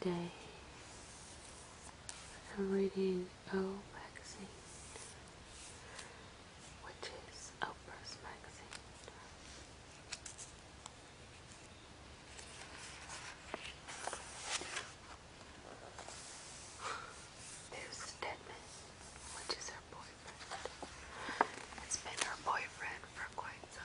Today I'm reading O magazine, which is Oprah's magazine. There's Stedman, which is her boyfriend. It's been her boyfriend for quite some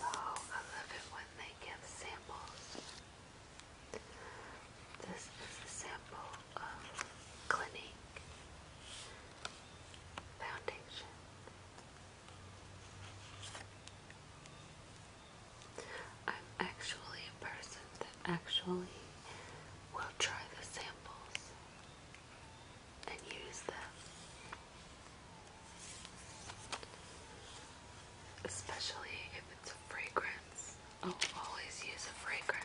Oh, I love it when they give samples. This is a sample of Clinique Foundation. I'm actually a person that actually will try the samples and use them. Especially if it's a fragrance. Oh, always use a fragrance.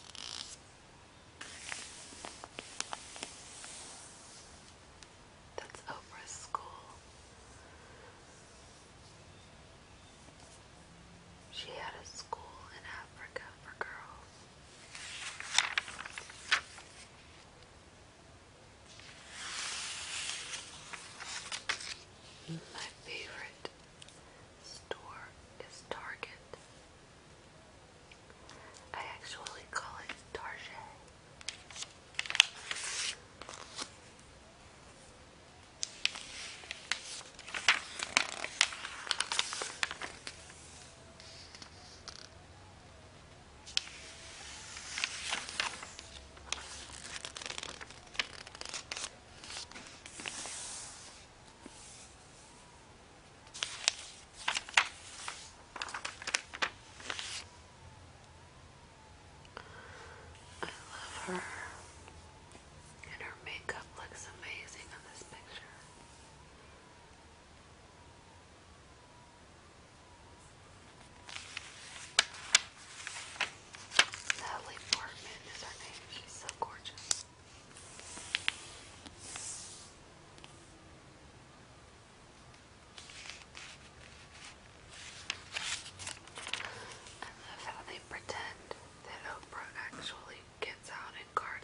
That's Oprah's school. She had a school in Africa for girls. My favorite store is Target. I actually call it Target. I love her. And her makeup looks amazing on this picture. Natalie Portman is her name. She's so gorgeous. I love how they pretend that Oprah actually gets out and gardens.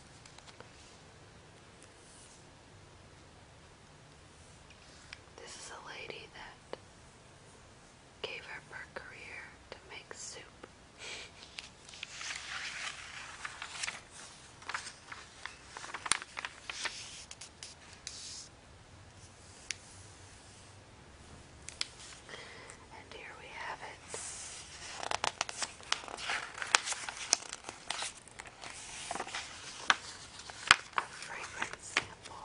This is a lady that gave up her career to make soup. and here we have it a fragrance sample.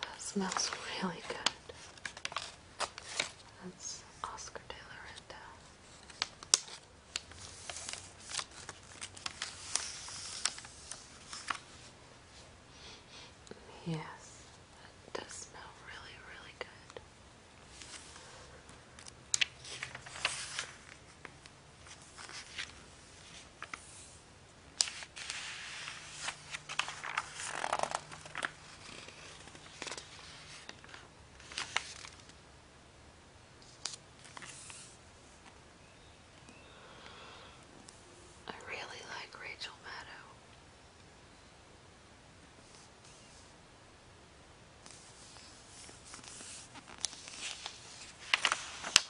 That smells really good. That's Oscar de la Renta. Yes, that does smell really, really good. I really like Rachel Maddow.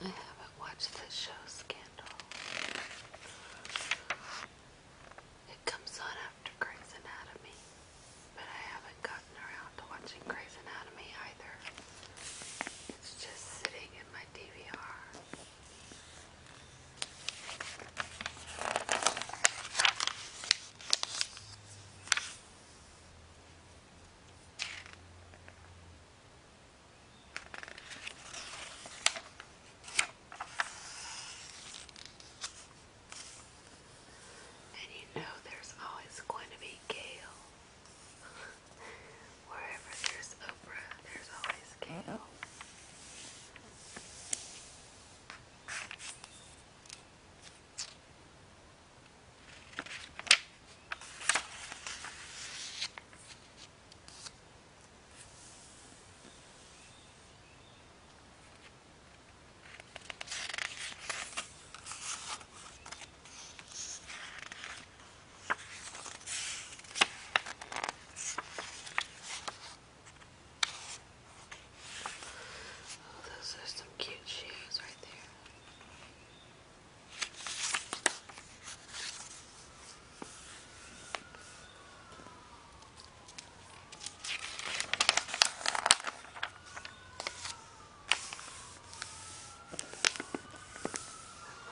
I haven't watched the show Scandal. It comes on after Grey's Anatomy, but I haven't gotten around to watching Grey's Anatomy either. It's just sitting in my DVR. And you know there's always going to be Gail. Wherever there's Oprah, there's always Gail. Oh, those are some cute shoes right there. I'm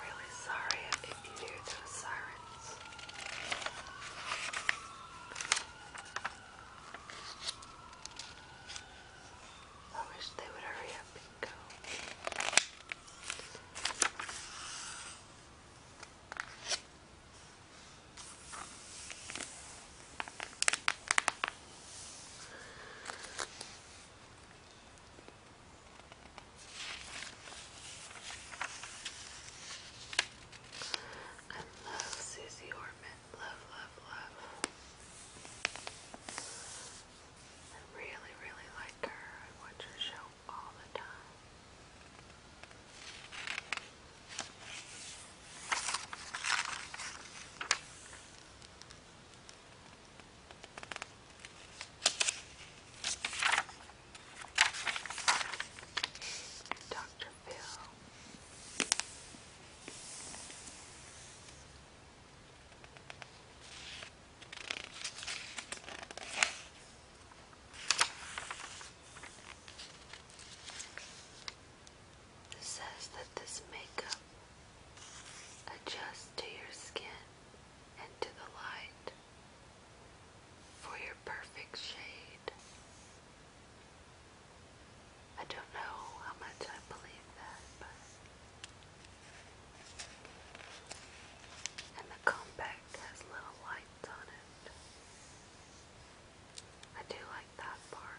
really sorry if you hear those sirens. I wish they would hurry up go. I love Susie Orman. Love, love, love. I really, really like her. I watch her show all the time. Dr. Phil. It says that this makeup adjusts to your skin and to the light for your perfect shade. I don't know how much I believe that, but and the compact has little lights on it. I do like that part.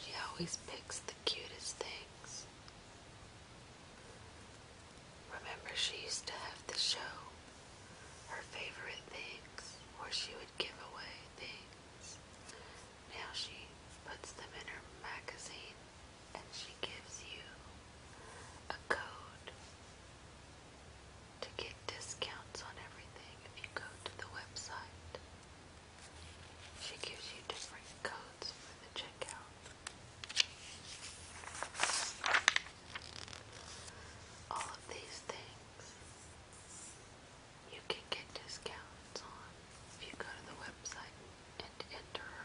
She always picks the cutest things. Remember, she used to have the show, her favorite things, where she would give away things. Now she puts them in her magazine and she gives you a code to get discounts on everything if you go to the website. She gives you different codes for the checkout. All of these things you can get discounts on if you go to the website and enter her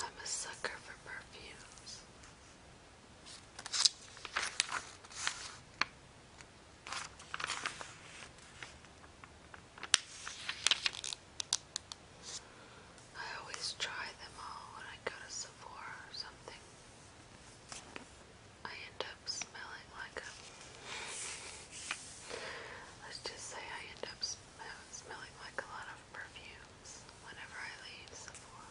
I'm a sucker for perfumes. I always try them all when I go to Sephora or something. I end up smelling like a. Let's just say I end up smelling like a lot of perfumes whenever I leave Sephora.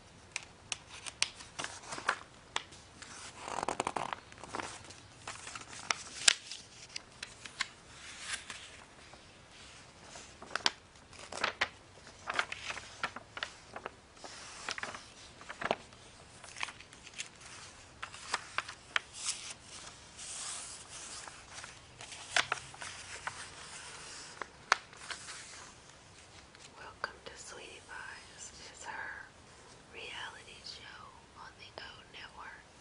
Welcome to Sweetie Pies. It's her reality show on the O Network.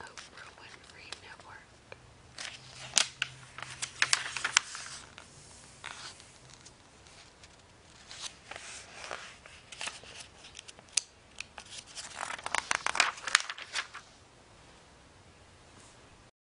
Oprah Winfrey Network.